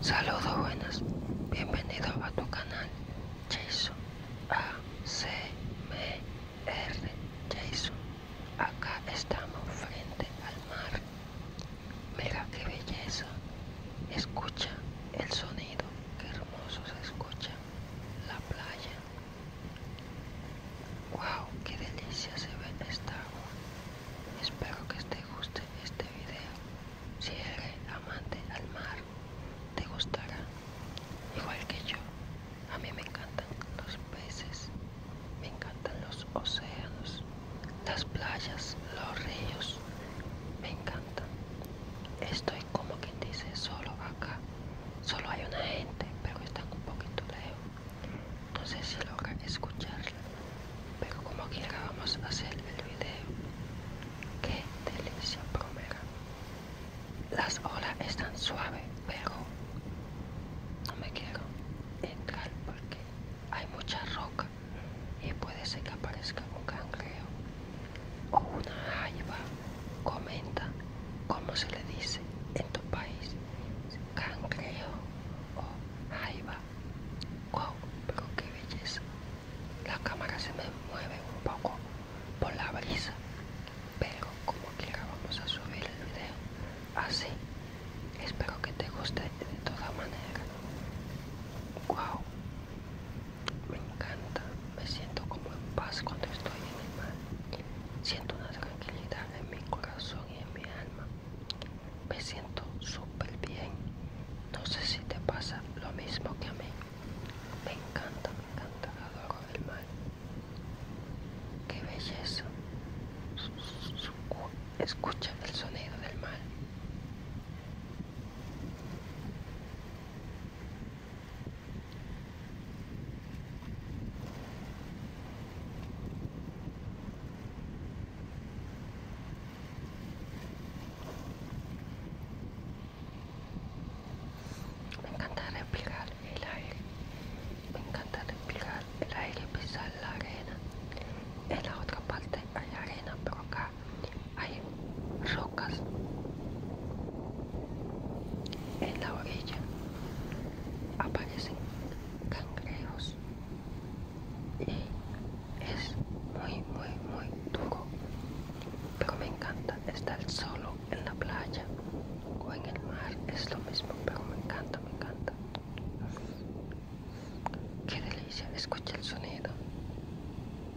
Saludos buenas, bienvenidos a tu canal Jason ACMR Jason. Acá estamos frente al mar. Mira qué belleza. Escucha el sonido, qué hermoso se escucha la playa. ¡Wow! ¡Qué delicia se ve esta agua! Espero que te guste este video. Si eres amante al mar, te gustará. Igual que yo, a mí me encantan los peces, me encantan los océanos, las playas, los ríos, me encantan. Estoy como quien dice solo acá solo hay una gente pero están un poquito lejos no sé si logra escucharla pero como quiera vamos a hacer el video qué delicia bromera las olas están suaves pero no me quiero entrar porque hay mucha roca y puede ser que aparezca un cangreo o una jaiba. Comenta como se le dice en tu país cancreo... o jaiba. Wow, pero qué belleza. La cámara se me mueve un poco por la brisa, pero como quiera vamos a subir el video así. Espero que te guste de todas maneras Wow, me encanta, me siento como en paz cuando estoy en el mal, Siento una tranquilidad en mi corazón y en mi alma. Me siento súper bien. No sé si te pasa lo mismo que a mí. Me encanta, me encanta, adoro el mal, ¡Qué belleza! Escucha el sonido del mal. Me encanta respirar el aire, me encanta respirar el aire pisar la arena. En la otra parte hay arena, pero acá hay rocas en la orilla aparecen cangrejos y es muy muy muy duro pero me encanta estar solo en la playa o en el mar es lo mismo pero me encanta me encanta qué delicia escucha el sonido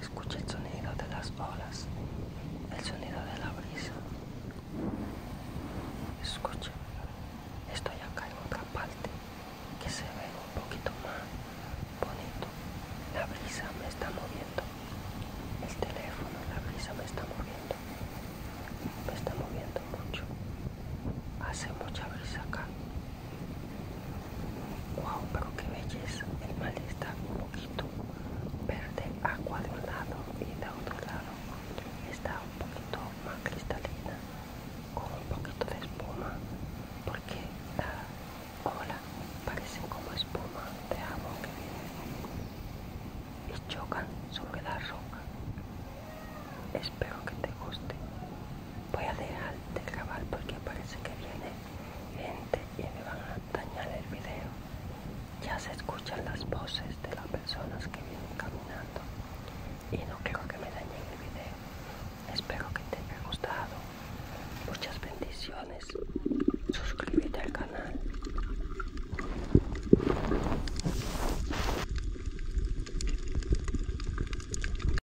Escucha el sonido de las olas, el sonido de la brisa. Escucha, estoy acá en otra parte que se ve un poquito más bonito. La brisa me está moviendo. El teléfono, la brisa me está moviendo. Me está moviendo mucho. Hace mucha brisa acá. Wow, pero qué belleza. El mal está un poquito verde agua de un lado y de otro lado está un poquito más cristalina con un poquito de espuma porque la ola parece como espuma de amo que viene y chocan sobre la roca. Espero que te guste voy a dejar de grabar porque parece que viene gente y me van a dañar el video ya se escuchan las voces de las personas que vienen caminando y no creo que me dañen el video espero que te haya gustado muchas bendiciones suscríbete al canal